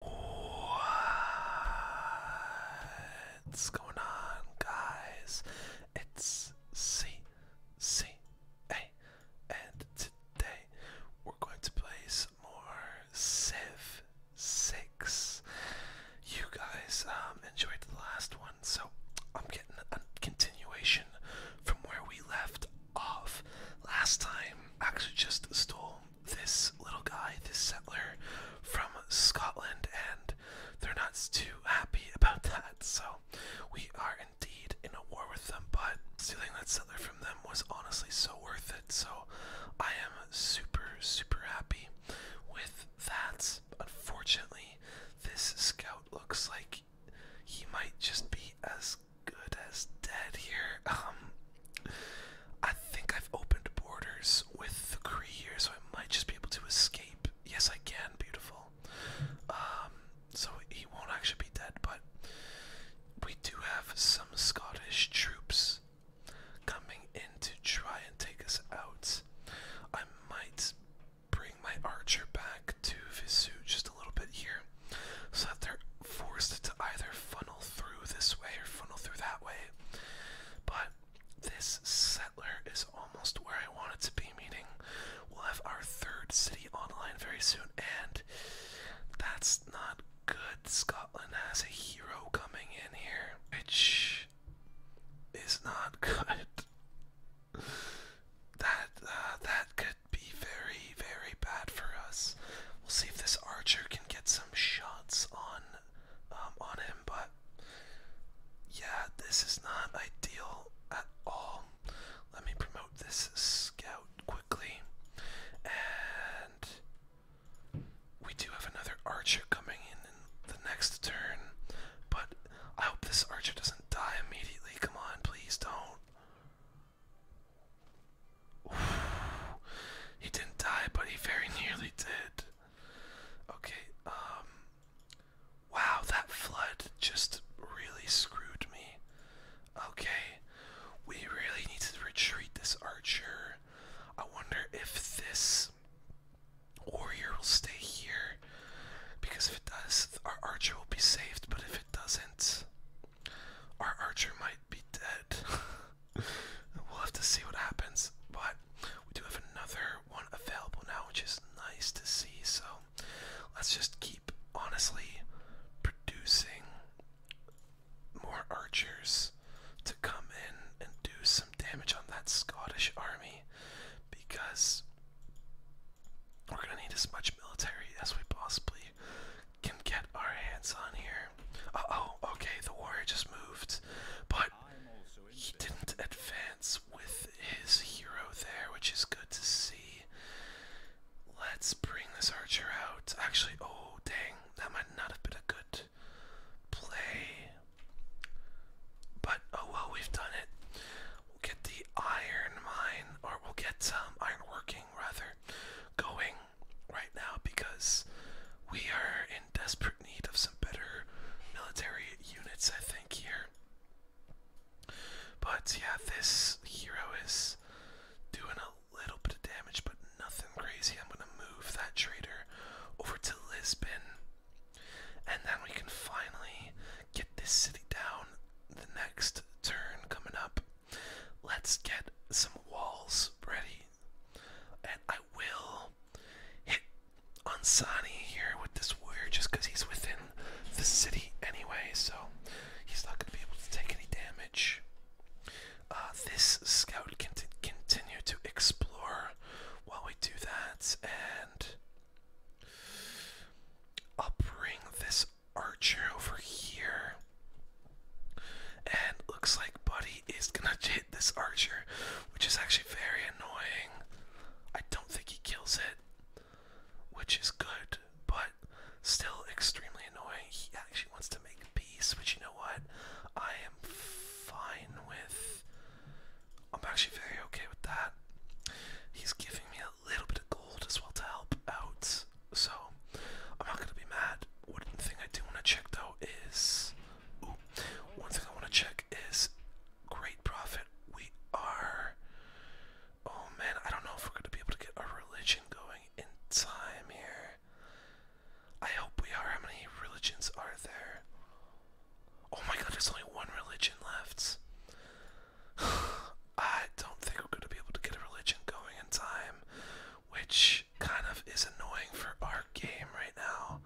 What's going on, guys? It's CCA, and today we're going to play some more Civ 6. You guys um, enjoyed the last one, so I'm getting a continuation from where we left off last time. actually just stole this little guy, this settler from Scotland, and they're not too happy about that. So we are indeed in a war with them, but stealing that settler from them was honestly so worth it. So I am super, super happy with that. Unfortunately, this scout looks like he might just be as good as dead here. Um I think I've opened borders with the Kree here, so I might just be able to escape. Yes, I can. Beautiful. Um, so he won't actually be dead, but we do have some Scottish troops coming in to try and take us out. I might bring my archer back to Visu just a little bit here, so that they're forced to either funnel through this way or funnel through that way. But this settler is almost where I want it to be, Meeting, we'll have our third city online very soon, and that's not good. Scotland has a hero coming in here, which is not good. That uh, that could be very very bad for us. We'll see if this archer can get some shots on um, on him, but yeah, this is not ideal at all. Let me promote this scout quickly, and we do have another archer coming in in the next turn. But I hope this archer doesn't die immediately. Come on, please don't. He didn't die, but he very nearly did. Okay, um. Wow, that flood just really screwed me. Okay, we really need to retreat this archer. I wonder if this warrior will stay here. Because if it does, our archer will be saved, but if it doesn't, our archer might be dead. we'll have to see what happens. But we do have another one available now, which is nice to see. So let's just keep honestly producing more archers to come in and do some damage on that Scottish army because we're gonna need as much military as we possibly can get our hands on here. oh, okay, the warrior just moved, but he didn't advance with his hero there, which is good to see. Let's bring this archer out. Actually, oh dang, that might not have been a good play. But oh well, we've done it. We'll get the iron mine, or we'll get some um, iron working rather, going right now because we are in desperate need of some better military units, I think, here. But yeah, this hero is doing a little bit of damage, but nothing crazy. I'm going to move that traitor over to Lisbon, and then we can finally get this city down the next turn coming up. Let's get some walls ready and I will hit on Sani here with this warrior just because he's within the city anyway, so he's not going to be able to take any damage. Uh, this scout can continue to explore while we do that, and I'll bring this archer over here. And looks like Buddy is gonna this archer, which is actually very annoying. I don't think he kills it, which is good, but still extremely annoying. He actually wants to make peace, which you know what? I am fine with. I'm actually very okay with that. He's giving me a little bit of gold as well to help out, so I'm not gonna be mad one thing I do want to check though is, one thing I want to check is great profit. We are, oh man, I don't know if we're going to be able to get our religion going in time here. I hope we are. How many religions are there? Oh my god, there's only one religion left. I don't think we're going to be able to get a religion going in time, which kind of is annoying for our game right now.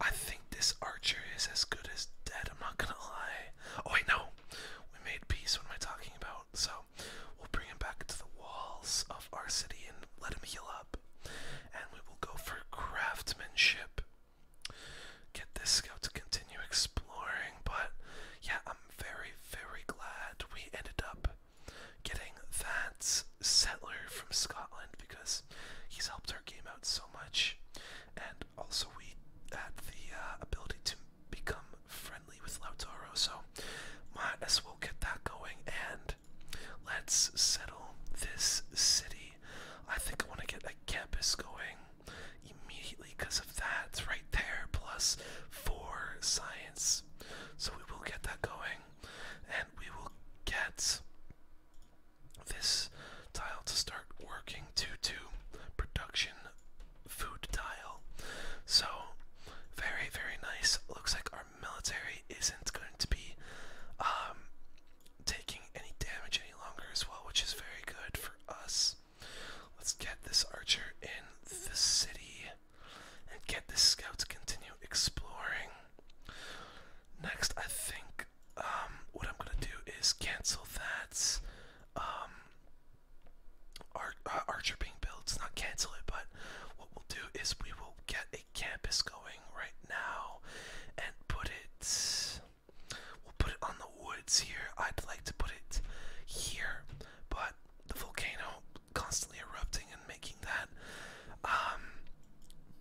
I think this archer is as good as dead, I'm not gonna lie. Oh wait, no! We made peace, what am I talking about? So, we'll bring him back to the walls of our city and let him heal up. And we will go for craftsmanship. Get this scout to continue exploring, but yeah, I'm very, very glad we ended up getting that settler from Scotland because he's helped our game out so much. And also, we had the uh, ability to become friendly with Lautaro, so might as well get that going. And let's settle this city. I think I want to get a campus going immediately because of that right there, Plus, for science. So we will get that going and we will get this tile to start working to two production food tile. So very very nice. Looks like our military isn't going to be um, taking any damage any longer as well, which is very good for us. Let's get this archer in the city and get the scout to continue exploring. Next, I think um, what I'm gonna do is cancel that um, uh, archer being built. It's not cancel it, but what we'll do is we will get a campus going right now and put it. We'll put it on the woods here. I'd like to put it here, but the volcano constantly erupting and making that, um,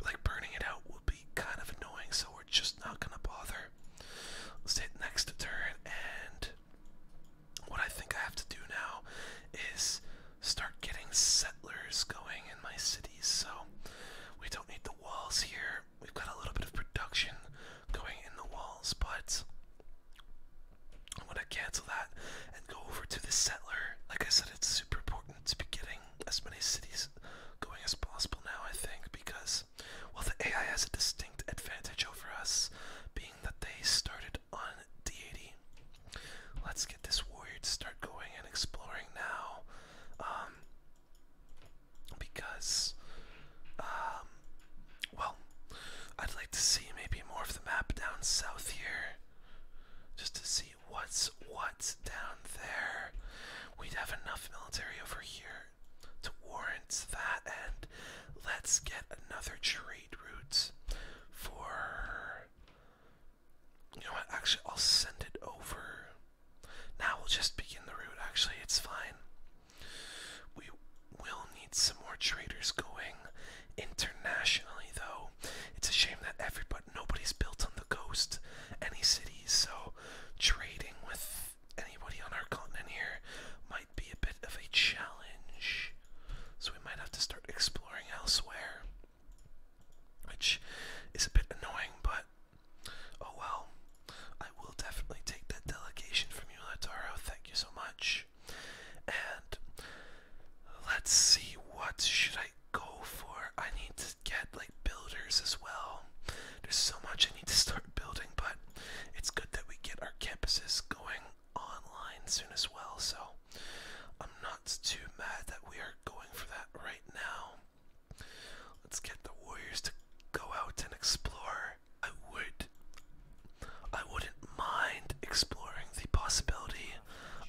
like burning it out would be kind of annoying, so we're just not gonna bother. Let's hit next turn, and what I think I have to do now is start getting settlers going in my cities, so we don't need the walls here. We've got a little bit of production going in the walls, but i want to cancel that and go over to the settler. Like I said, it's super important to be getting as many cities going as possible now, I think, because well the AI has a distinct advantage over us, being that they started on D80. Let's get this warrior to start going and exploring now. Um because um well I'd like to see maybe more of the map down south here. Just to see what's what's down there. We'd have enough military over here to warrant that, and let's get another trade route for. You know Actually, I'll send it over. Now we'll just begin the route. Actually, it's fine. We will need some more traders going. Internationally, though, it's a shame that everybody, nobody's built on the ghost, any cities, so trading with anybody on our continent here might be a bit of a challenge. So we might have to start exploring elsewhere, which is a bit annoying, but oh well. I will definitely take that delegation from you, Lataro. Thank you so much. And let's see what should I go for? I need to get like builders as well. There's so much I need to start building, but it's good that we get our campuses going online soon as well. So I'm not too mad that we are going for that right now. Let's get the warriors to go out and explore. I would I wouldn't mind exploring the possibility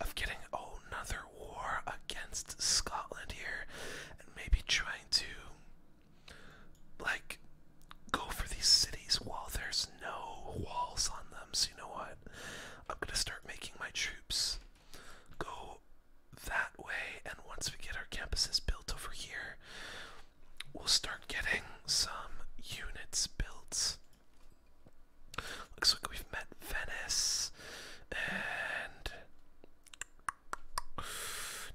of getting old another war against Scotland here and maybe trying to like go for these cities while there's no walls on them. So you know what? I'm gonna start making my troops go that way and once we get our campuses built over here, we'll start getting some units built. Looks like we've met Venice and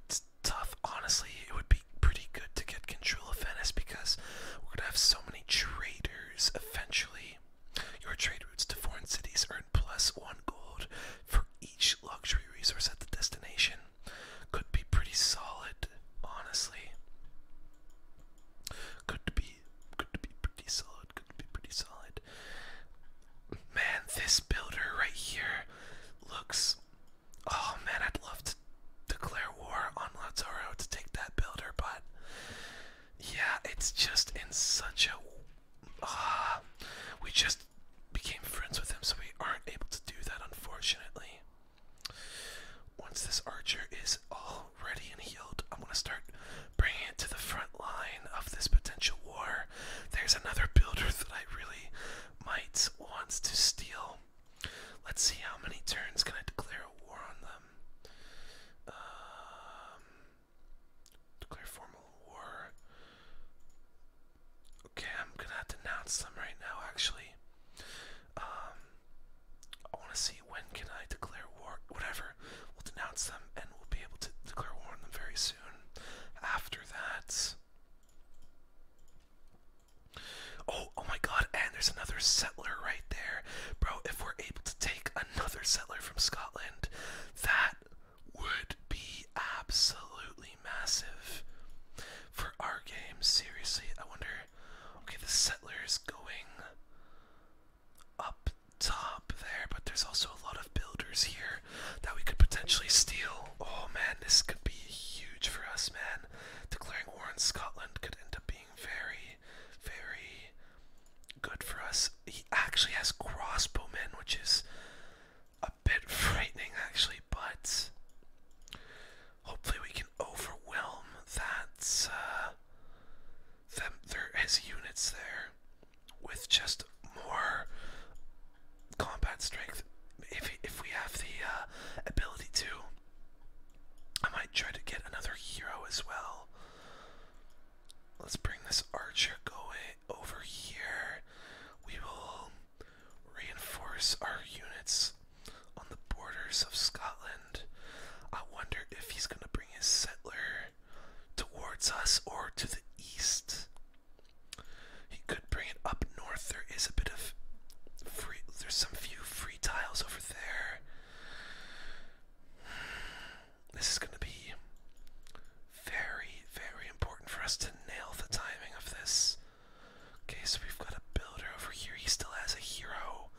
it's tough. Honestly, it would be pretty good to get control of Venice because we're gonna have so many traders eventually. Your trade routes to foreign cities earn plus one gold for each luxury resource at the destination. Could be pretty solid, honestly. Could be could be pretty solid build could be pretty solid. Man, this builder right here looks. Oh man, I'd love to declare war on Lazzaro to take that builder, but yeah, it's just in such a. Ah, we just became friends with him, so we aren't able to do that, unfortunately. Once this archer is all oh, ready and healed. I'm gonna start bringing it to the front line of this potential war. There's another builder that I really might want to steal. Let's see how many turns can I declare a war on them. Um, declare formal war. Okay, I'm gonna have to announce them right now. Actually, um, I want to see when can I declare war. Whatever, we'll denounce them, and we'll be able to declare war on them very soon. After that, oh, oh my God! And there's another settler right there, bro. If we're able to take another settler from Scotland, that would be absolutely massive for our game. Seriously, I wonder. Okay, the settler is going up top there, but there's also a lot of builders here that we could potentially steal. Oh man, this could be huge for us, man. Declaring war on Scotland could end up being very, very good for us. He actually has crossbowmen, which is a bit frightening, actually, but hopefully we can overwhelm that. Uh, them there as units there with just more combat strength. If if we have the uh, ability to, I might try to get another hero as well. Let's bring this archer going over here. We will reinforce our units on the borders of Scotland. I wonder if he's gonna bring his settler towards us or to the east. He could bring it up north. There is a bit of free, there's some few free tiles over there. This is going to be very, very important for us to nail the timing of this. Okay, so we've got a builder over here. He still has a hero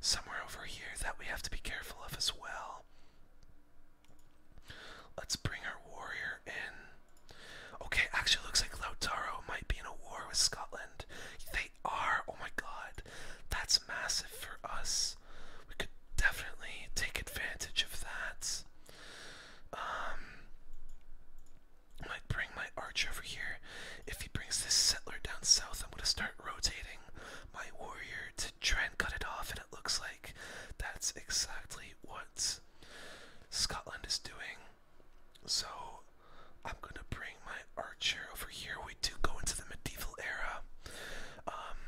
somewhere over here that we have to be careful of as well. Let's bring our warrior in. Okay, actually looks like Lautaro might be in a war with Scotland. They are. Oh my god. That's massive for us. We could definitely take advantage of that. Um might bring my archer over here. If he brings this settler down south, I'm gonna start rotating my warrior to try cut it off, and it looks like that's exactly what Scotland is doing. So I'm gonna bring my archer over here. We do go into the medieval era, um,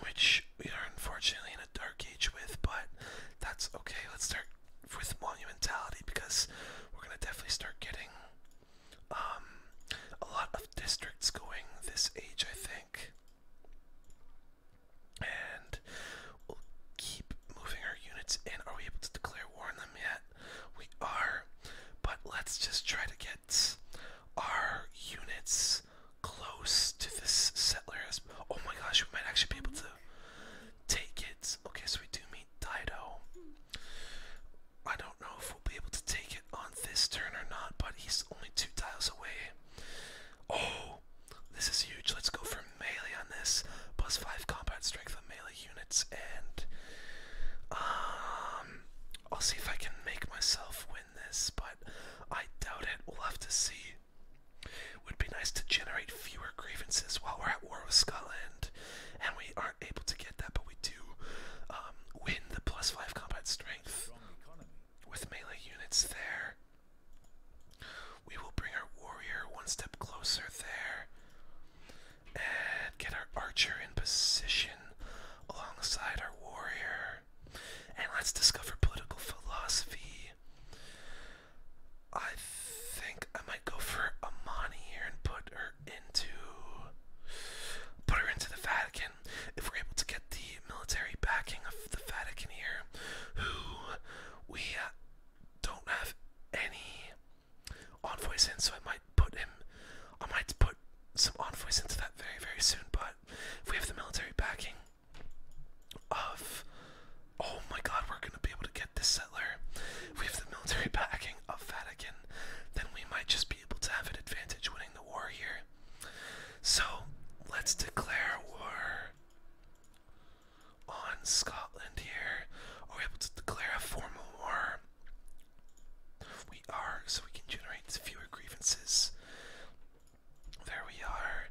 which we are unfortunately in a dark age with, but that's okay. Let's start with monumentality because we're gonna definitely start getting um, a lot of districts going this age, I think. And we'll keep moving our units in. Are we able to declare war on them yet? We are, but let's just try to get our units close to this settler. Oh my gosh, we might actually be able to take it. Okay, so we do meet Dido. I don't know if we'll be able to take it on this turn or not, but he's only two tiles away. Oh, this is huge. Let's go for melee on this. Plus five combat strength on melee units, and um, I'll see if I can make myself win this, but I doubt it. We'll have to see. It Would be nice to generate fewer grievances while we're at war with Scotland, and we are able to get that, but we do um, win the plus five combat strength with melee units there. We will bring our warrior one step closer there and get our archer in position alongside our warrior. And let's discover political philosophy. I think I might go for Amani here and put her into put her into the Vatican. If we're able to get the military backing of the Vatican here, who we uh, don't have any envoys in, so I might put him. I might put some envoys into that very very soon. But if we have the military backing of, oh my God, we're gonna be able to get this settler. If we have the military backing of Vatican, then we might just be able to have an advantage winning the war here. So let's declare war on Scotland here. Are able to declare a formal war? We are, so we can generate fewer grievances. There we are.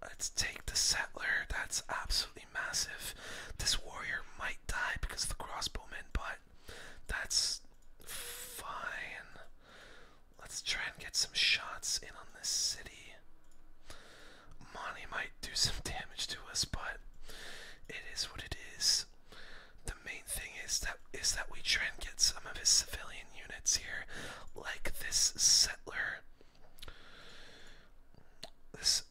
Let's take the settler. That's absolutely massive. This warrior might die because of the crossbowmen, but that's fine. Let's try and get some shots in on this city. Monty might do some damage to us, but it is what it is. The main thing is that is that we try and get some of his civilian units here, like this settler. This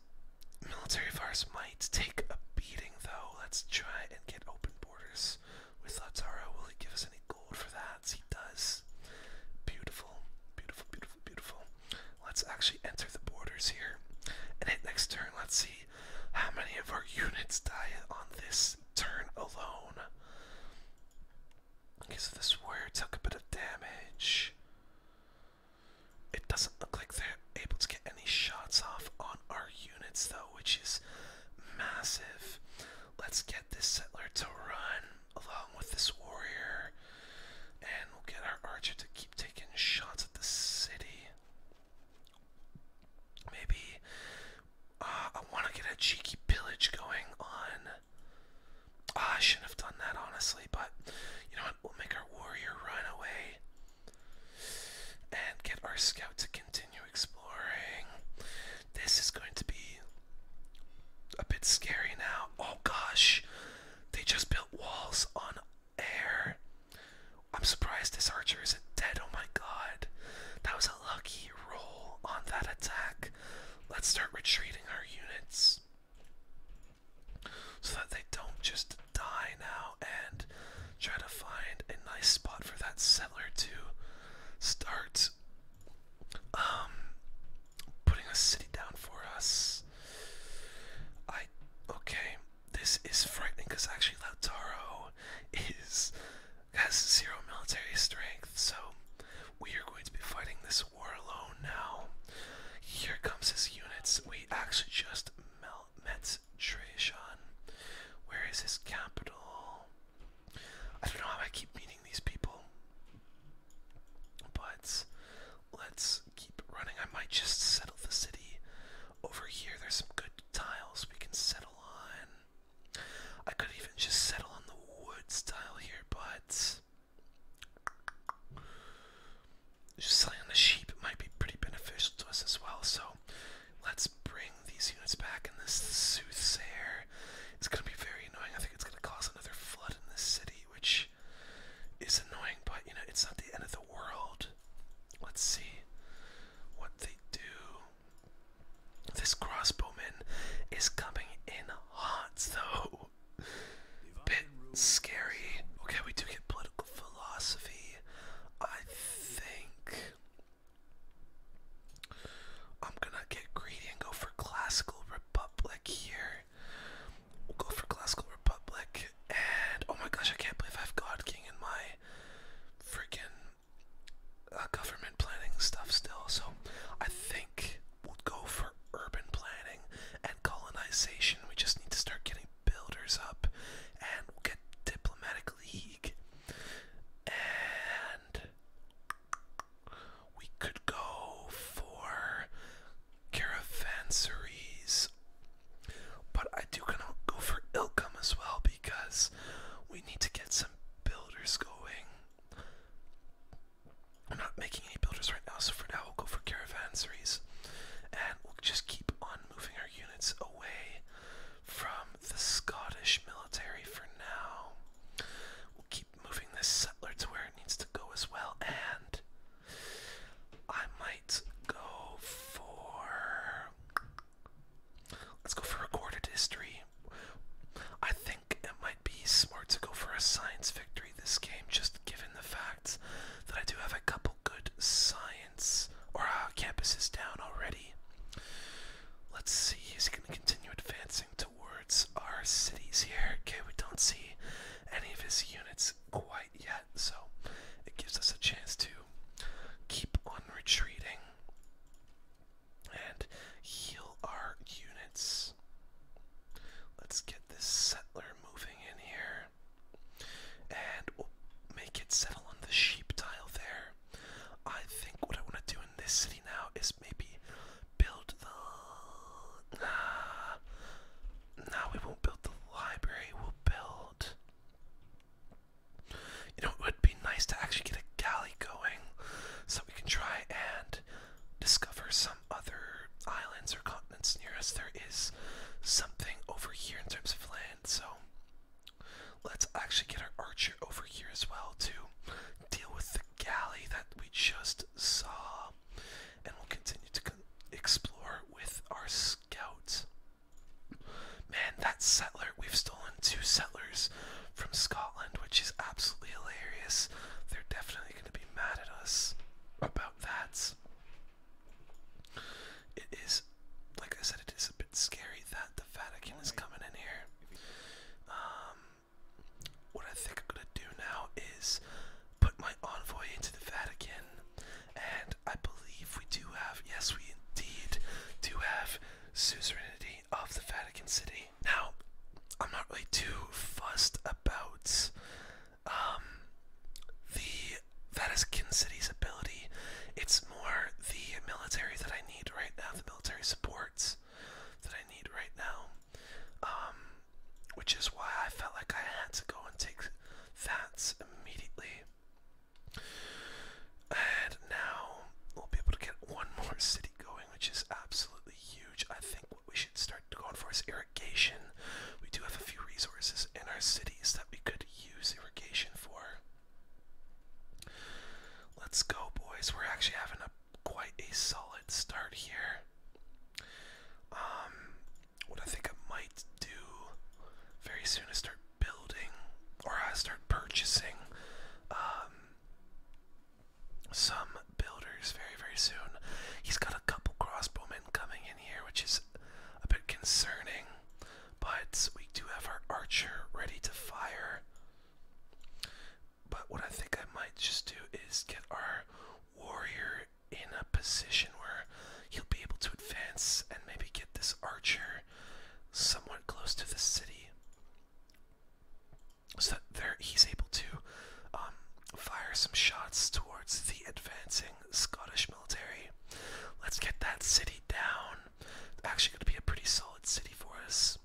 military force might take a beating, though. Let's try and get open borders. We thought, Taro, will he give us any gold for that? He does. Beautiful, beautiful, beautiful, beautiful. Let's actually enter the borders here. And hit next turn. Let's see how many of our units die on this turn alone. Okay, this warrior took a bit of damage. It doesn't look like they're able to get any shots off on our units, though which is massive. Let's get this settler to run along with this warrior, and we'll get our archer to keep taking shots at the city. Maybe uh, I want to get a cheeky pillage going on. Ah, I shouldn't have done that honestly, but you know what? We'll make our warrior run away and get our scout to continue exploring. This is going to be a bit scary now. Oh gosh, they just built walls on air. I'm surprised this archer isn't dead. Oh my god, that was a lucky roll on that attack. Let's start retreating our units so that they don't just die now and try to find a nice spot for that settler to start um, putting a city down for us. I okay, this is frightening because actually Lautaro is has zero military strength, so we are going to be fighting this war alone now. Here comes his units. We actually just melt. Israel Trajan. Where is his capital? I don't know how I keep meeting these people. But let's keep running. I might just settle the city over here. There's some good tiles we can settle on. I could even just settle on the wood style here, but just selling on the sheep might be pretty beneficial to us as well. So Let's bring these units back, and this soothsayer is going to be very annoying. I think it's going to cause another flood in this city, which is annoying, but you know, it's not the end of the world. Let's see what they do. This crossbowman is coming in hot, though. Bit scary. Okay, we do get political philosophy. I think I'm gonna get greedy and go for Classical Republic here. We'll go for Classical Republic. And oh my gosh, I can't believe I've God King in my freaking uh, government planning stuff still. So I think we'll go for urban planning and colonization. We just need to start getting builders up and we'll get diplomatic league and we could go for caravanseries. But I do kind of go for Ilkham as well because we need to get some builders going. I'm not making any builders right now, so for now we'll go for caravanseries. And we'll just keep on moving our units away from the Scottish military for now. We'll keep moving this settler to where it needs to go as well, and I might go for. Let's go for recorded history. I think it might be smart to go for a science victory this game, just given the facts that I do have a couple good science science or uh, campus is down already. Let's see, is he gonna continue advancing towards our cities here? Okay, we don't see any of his units quite yet, so it gives us a chance to keep on retreating and heal our units. Let's get this settler moving in here. And we'll make it settle on the sheep tile there. I think what I want to do in this city now is maybe build the. Nah. Nah, we won't build the library. We'll build. You know, it would be nice to actually get a galley going so we can try and discover some other islands or continents near us. There is something over here in terms of land, so Let's actually get our archer over here as well to deal with the galley that we just saw. And we'll continue to explore with our scouts. Man, that settler, we've stolen two settlers from Scotland, which is absolutely hilarious. They're definitely going to be mad at us about that. It is, like I said, it is a scary that the Vatican is coming in here. Um, what I think I'm gonna do now is put my envoy into the Vatican, and I believe we do have, yes, we indeed do have suzerainty of the Vatican City. Now, I'm not really too fussed about um, the Vatican City's ability. It's more the military that I need right now, the military supports that I need right now. Um, which is why I felt like I had to go and take that immediately. And now we'll be able to get one more city going, which is absolutely huge. I think what we should start going for is irrigation. We do have a few resources in our cities that we could use irrigation for. Let's go, boys. We're actually having a quite a solid start here. Um, what I think I might do very soon is start building, or I start purchasing, um, some builders very very soon. He's got a couple crossbowmen coming in here, which is a bit concerning. But we do have our archer ready to fire. But what I think I might just do is get our warrior in a position where he'll be able to advance and maybe get this archer somewhat close to the city. So that there he's able to um, fire some shots towards the advancing Scottish military. Let's get that city down actually going to be a pretty solid city for us.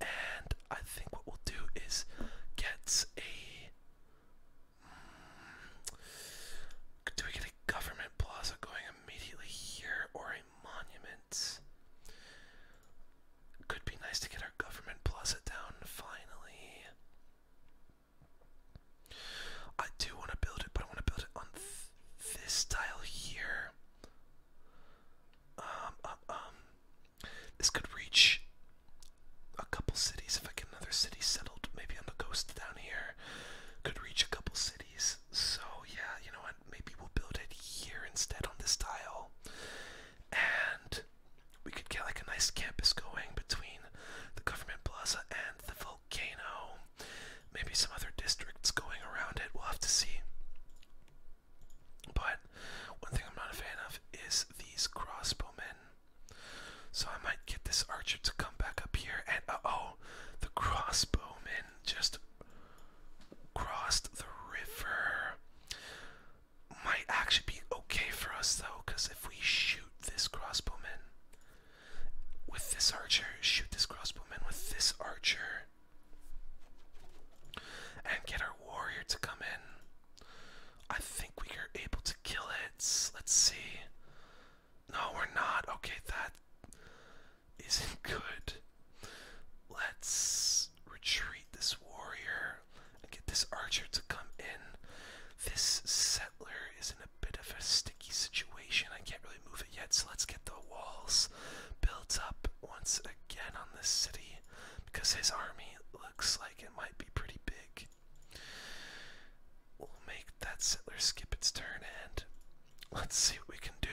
And I think what we'll do is get a. Mm, do we get a government plaza going immediately here or a monument? Could be nice to get our government plaza down finally. I do want to build it, but I want to build it on this tile here. Um, um, um, this could reach a couple cities if I get another city settled, maybe on the coast down here. Could reach a couple cities. So yeah, you know what? Maybe we'll build it here instead on this tile, and we could get like a nice campus going between the government plaza and the Volcano. Maybe some other districts going around it. We'll have to see. But one thing I'm not a fan of is these crossbowmen. So I might get this archer to come back up here and uh, oh, the crossbowmen just crossed the river. Might actually be okay for us though, because if we shoot this crossbowman, with this archer, shoot this crossbowman with this archer, and get our warrior to come in. I think we are able to kill it. Let's see. No, we're not. Okay, that isn't good. Let's retreat this warrior and get this archer to come in. This settler is in a bit of a sticky situation. I can't really move it yet, so let's get the walls built up once again on this city because his army looks like it might be pretty big. We'll make that settler skip its turn and let's see what we can do.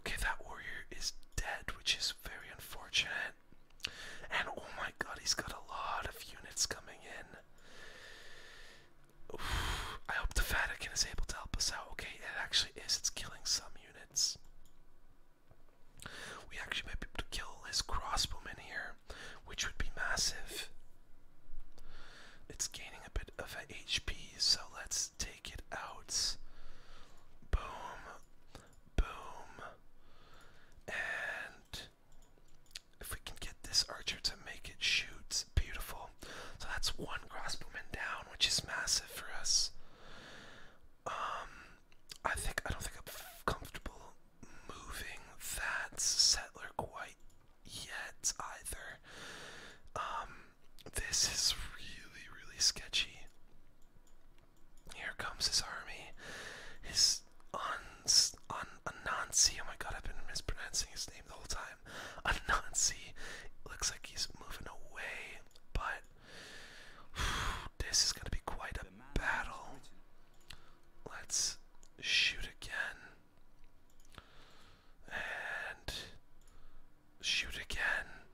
Okay, that warrior is dead, which is very unfortunate. And oh my god, he's got a lot of units coming in. I hope the Vatican is able to help us out. Okay, it actually is. It's killing some units. We actually might be able to kill his crossbowman here, which would be massive. It's gaining a bit of a HP, so let's take it out. Boom. Boom. And if we can get this archer to make it shoot, beautiful. So that's one crossbowman down, which is massive for us. Um, I think I don't think I'm comfortable moving that settler quite yet either. Um, this is really really sketchy. Here comes his army. His Anansi. Oh my god, I've been mispronouncing his name the whole time time. A Nazi. It looks like he's moving away, but this is gonna be quite a battle. Let's shoot again. And shoot again.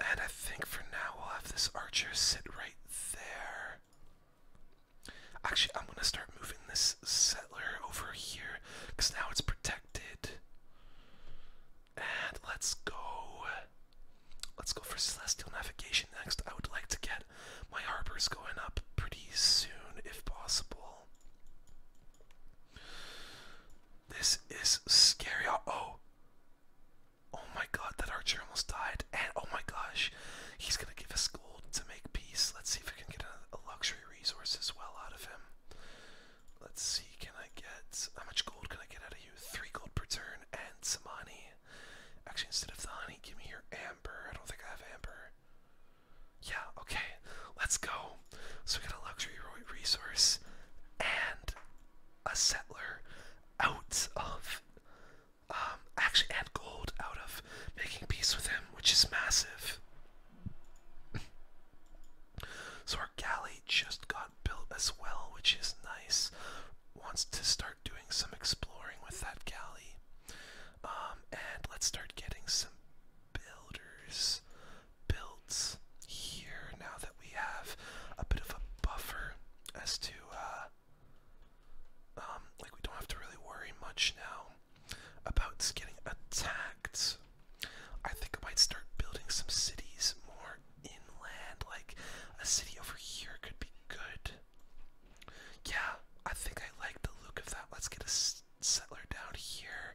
And I think for now we'll have this archer sit right there. Actually, I'm gonna start moving this settler over here because now it's protected. And let's go. Let's go for celestial navigation next. I would like to get my harbors going up pretty soon if possible. This is scary. Oh. Oh, oh my god, that archer almost died. And oh my gosh, he's gonna give us gold to make peace. Let's see if we can get a luxury resource as well out of him. Let's see, can I get how much gold can I get out of you? Three gold per turn and some honey. Actually, instead of the honey, give me your amber. I don't think I have amber. Yeah, okay, let's go. So we got a luxury resource and a settler out of um, actually and gold out of making peace with him, which is massive. so our galley just got built as well, which is nice. Wants to start doing some exploring with that galley. Um, and let's start getting some builders built here now that we have a bit of a buffer as to uh, um, like we don't have to really worry much now about getting attacked. I think I might start building some cities more inland, like a city over here could be good. Yeah, I think I like the look of that. Let's get a settler down here.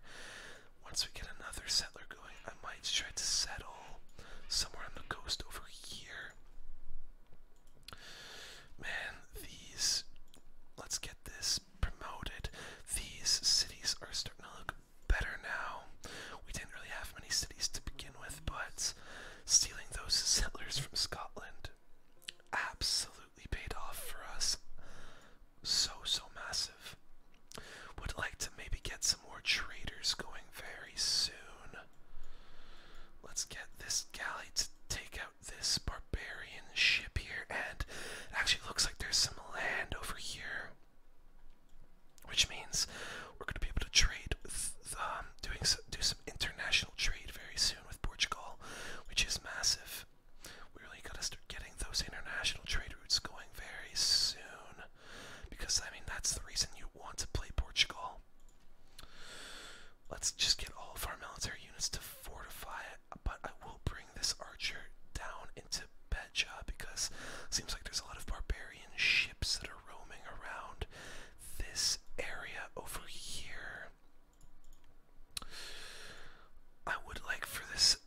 Once we get another settler going, I might try to settle somewhere on the coast over here. Man, these. Let's get this promoted. These cities are starting to look better now. We didn't really have many cities to begin with, but stealing those settlers from Scotland absolutely paid off for us. So, so massive. Would like to maybe get some more traders going very soon. Let's get this galley to take out this barbarian ship here, and it actually looks like there's some land over here, which means we're going to be able to trade, with, um, doing some, do some international trade very soon with Portugal, which is massive. We really got to start getting those international trade routes going very soon, because I mean that's the reason you want to play Portugal. Let's just get all of our military units to fortify it but I will bring this archer down into Betja because it seems like there's a lot of barbarian ships that are roaming around this area over here. I would like for this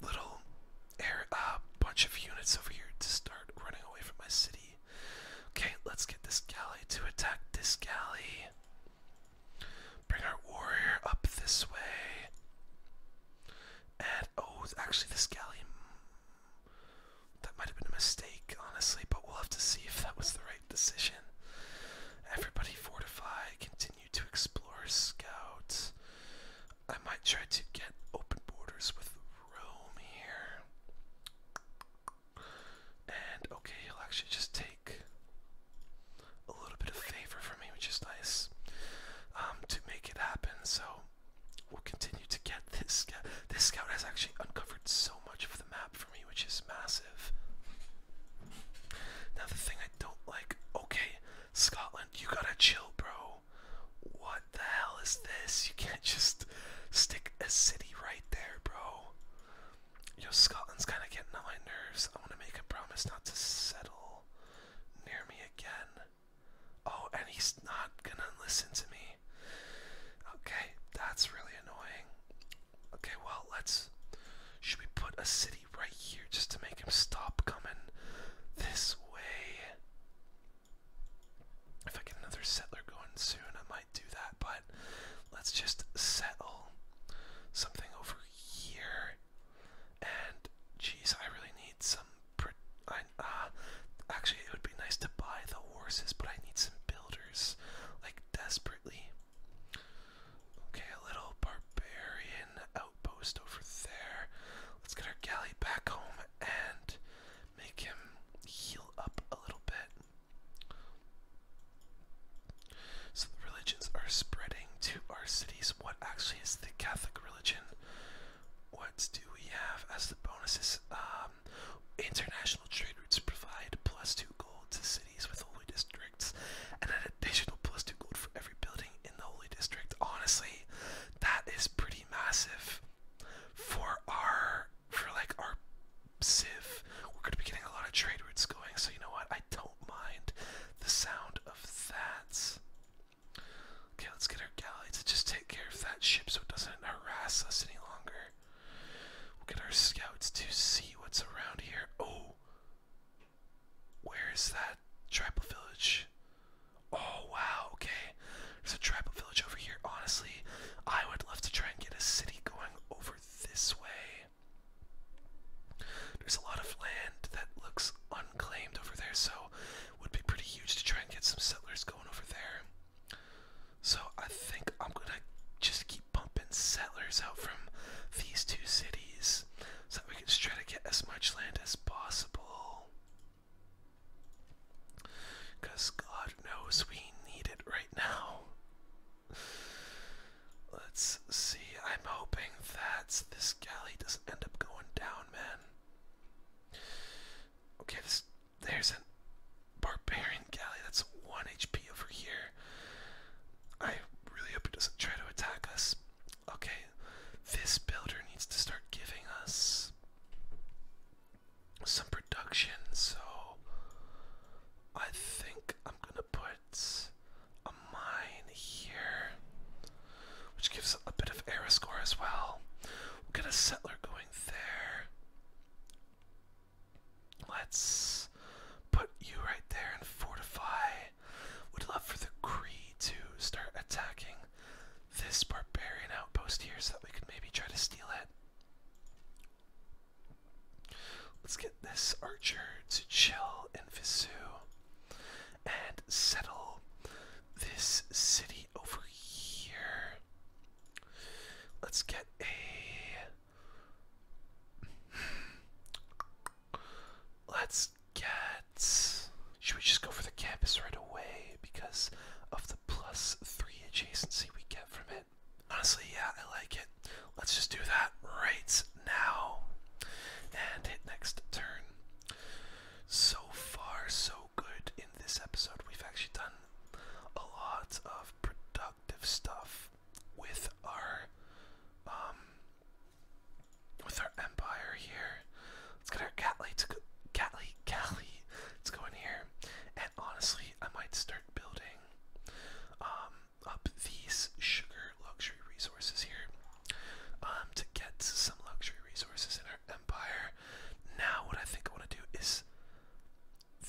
little air, a bunch of units over here to start running away from my city. Okay, let's get this galley to attack this galley. Bring our warrior up this way. And oh, actually, this galley. That might have been a mistake, honestly, but we'll have to see if that was the right decision. Everybody fortify, continue to explore, scout. I might try to get open borders with Rome here. And okay, he'll actually just take a little bit of favor for me, which is nice um, to make it happen. So we'll continue to get this This scout has actually uncovered so much of the map for me, which is massive. Now, the thing I don't like okay, Scotland, you gotta chill, bro. What the hell is this? You can't just stick a city right there, bro. Yo, Scotland's kind of getting on my nerves. i want to make a promise not to settle near me again. Oh, and he's not gonna listen to me. Okay, that's really annoying. Okay, well, let's. Should we put a city right here just to make him stop coming this way? If I get another settler going soon, I might do that, but let's just settle something over here and geez, I really need some. I, uh, actually, it would be nice to buy the horses, but I need some builders, like desperately. Okay, a little barbarian outpost over there. Let's get our galley back home and make him heal up a little bit. So the religions are spreading to our cities. What actually is the Catholic religion? What do we have as the bonuses? Um, international trade routes provide plus two gold to cities with holy districts, and an additional plus two gold for every building in the holy district. Honestly, that is pretty massive for our for like our sieve. We're gonna be getting a lot of trade routes going, so you know what? I don't mind the sound that's Okay, let's get our galleys to just take care of that ship so it doesn't harass us any longer. We'll get our scouts to see what's around here. Oh, where is that tribal village? Oh, wow, okay. There's a tribal village over here. Honestly, I would love to try and get a city going over this way. There's a lot of land that looks unclaimed over there, so would be pretty huge to try and get some settlers going over there. So I think I'm gonna just keep pumping settlers out from these two cities so we can just try to get as much land as possible. Because God knows we need it right now. Let's see. I'm hoping that this galley doesn't end up going down, man. Okay, there's a barbarian galley. That's one HP over here. I really hope it doesn't try to attack us. Okay, this builder needs to start giving us some production, so I think I'm gonna put a mine here, which gives a bit of error score as well. We'll get a settler going there. Let's put you right there and fortify. Would love for the Cree to start attacking this barbarian outpost here so that we could maybe try to steal it. Let's get this archer to chill in Visu and settle this city over here. Let's get a. Let's get. Should we just go for the campus right away because of the plus three adjacency we get from it? Honestly, yeah, I like it. Let's just do that right now and hit next turn. So far, so good in this episode. We've actually done a lot of productive stuff with our um with our empire here. Let's get our Catley to go Catley Cali. Let's go in here. And honestly, I might start building um up these sugar luxury resources here um, to get some luxury resources in our empire. Now, what I think I want to do is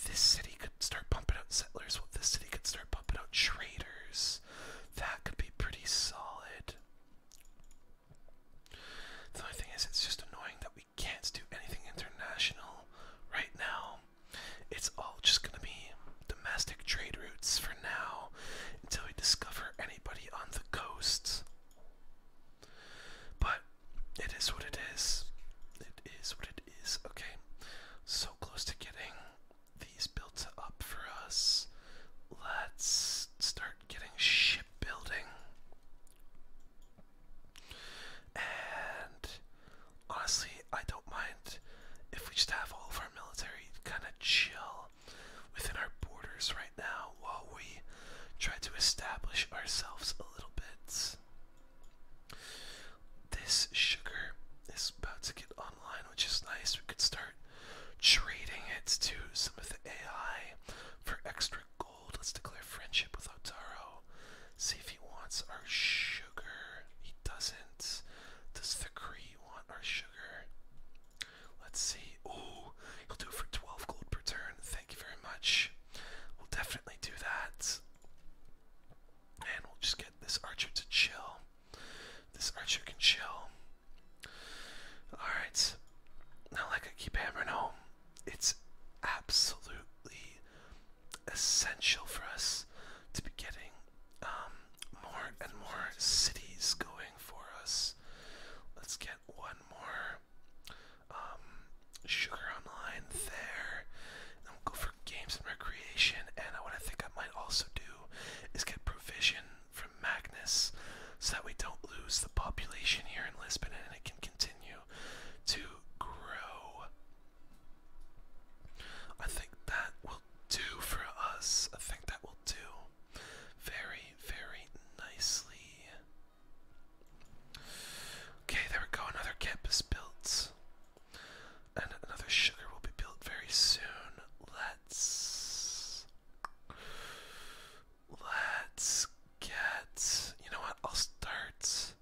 this city could start pumping out settlers. Well, this city could start pumping out traders. That could be pretty solid. The only thing is, it's just annoying that we can't do anything international right now. It's all just gonna be domestic trade routes for now until we discover anybody on the coast. But it is what it is. It is what it is. Okay, so close to getting these built up for us. Let's start getting shipbuilding. And honestly, I don't mind if we just have all of our military kind of chill within our borders right now while we try to establish ourselves a little bit. This sugar is about to get online, which is nice. We could start trading it to some of the AI for extra gold. Let's declare friendship with Otaro. See if he wants our sugar. He doesn't. Does the Kree want our sugar? Let's see. Oh, he'll do it for 12 gold per turn. Thank you very much. We'll definitely do that. And we'll just get this archer to chill. This archer can chill. Alright. Now, like I keep hammering home, it's absolutely essential for us to be getting um, more and more cities going for us. Let's get one more um, sugar online there. And we'll go for games and recreation. And what I think I might also do is get provision from Magnus so that we don't lose the population here in Lisbon and it can continue to grow. I think that will do for us. I think that will do very, very nicely. Okay, there we go. Another camp is built. And another sugar will be built very soon. Let's. Let's get. You know what? I'll start.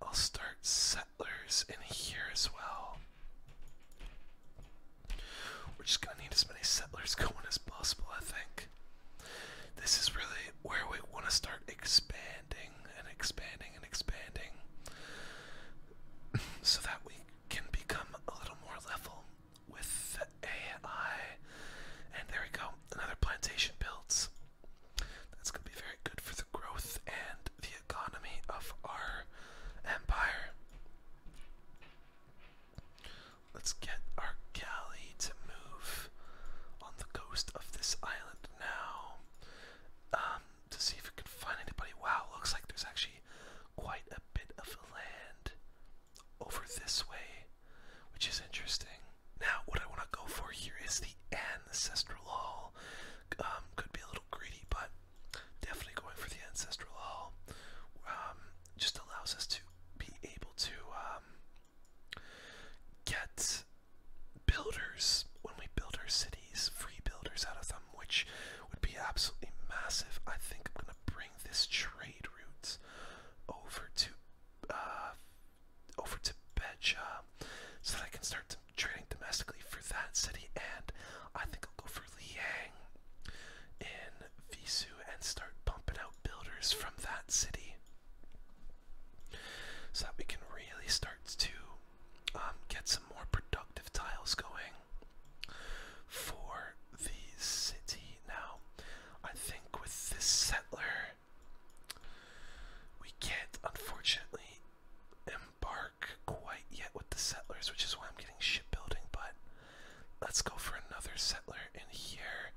I'll start settlers in here as well. We're just gonna need as many settlers going as possible, I think. This is really where we want to start expanding and expanding and expanding so that we can become a little more level with the AI. And there we go, another plantation builds. That's going to be very good for the growth and the economy of our empire. Let's get our galley to move on the coast of this island now um, to see if we can find anybody. Wow, looks like there's actually quite a bit of land over this way, which is interesting. Now, what I want to go for here is the ancestral hall. Um, could be a little greedy, but definitely going for the ancestral hall um, just allows us to be able to um, get builders when we build our cities, free builders out of them, which would be absolutely massive. I think I'm gonna bring this trade route over to uh, over to Beja so that I can start trading domestically for that city, and I think I'll go for Liang in Visu and start pumping out builders from that city so that we can really start to um, get some more productive tiles going for the city. Now, I think with this settler, we can't unfortunately embark quite yet with the settlers, which is why I'm getting shipbuilding, but let's go for another settler in here.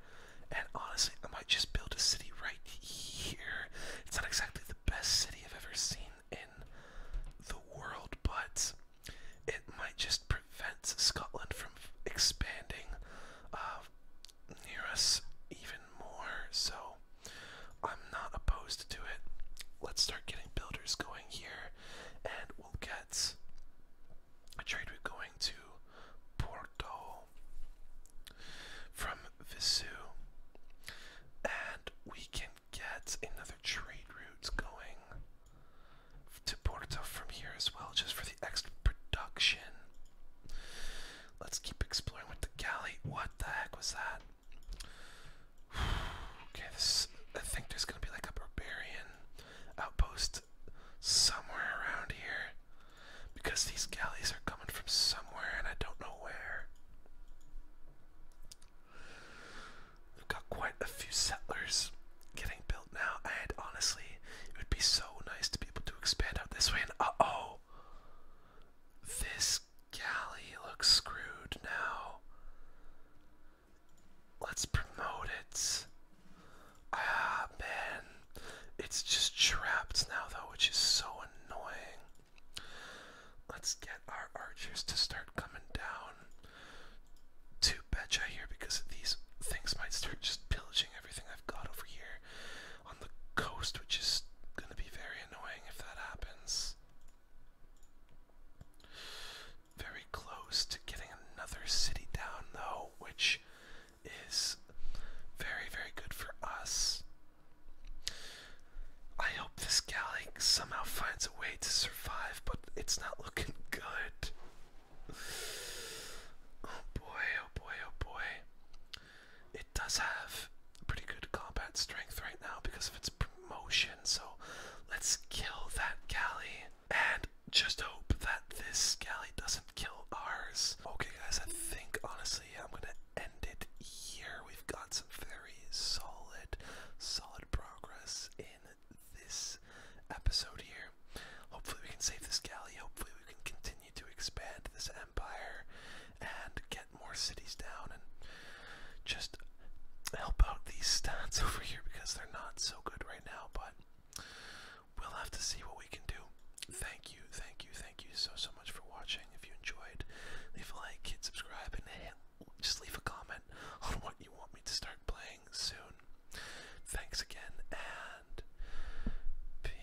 And honestly, I might just build a city right here. It's not exactly the best city I've ever seen in the world, but it might just prevent Scotland from expanding uh, near us even more. So I'm not opposed to it. Let's start getting builders going here and we'll get a trade. We're going to Porto from Visu, and we can get another trade route going to Porto from here as well, just for the extra production. Let's keep exploring with the galley. What the heck was that? Okay, this I think there's gonna be like a barbarian outpost somewhere around here. Because these galleys are coming from somewhere and I don't know where. We've got quite a few settlers getting built now, and honestly, it would be so nice to be able to expand out this way. And uh oh, this galley looks screwed now. Let's promote it. Ah, man. It's just trapped now, though, which is so annoying. Let's get our archers to start coming down to Betcha here because these things might start just pillaging everything I've got over here on the coast, which is going to be very annoying if that happens. Very close to getting another city down, though, which is very, very good for us. I hope this galley somehow finds a way to survive, but it's not looking good. Oh boy, oh boy, oh boy. It does have pretty good combat strength right now because of its promotion. So let's kill that galley and just hope that this galley doesn't kill ours. Okay, guys, I think honestly I'm gonna end it here. We've got some very solid, solid progress in this episode here. Hopefully, we can save this galley. Hopefully, we can continue to expand this empire and get more cities down and just help out these stats over here because they're not so good right now, but we'll have to see what we can do. Thank you, thank you, thank you so, so much for watching. If you enjoyed, leave a like, hit subscribe, and just leave a comment on what you want me to start playing soon. Thanks again, and peace.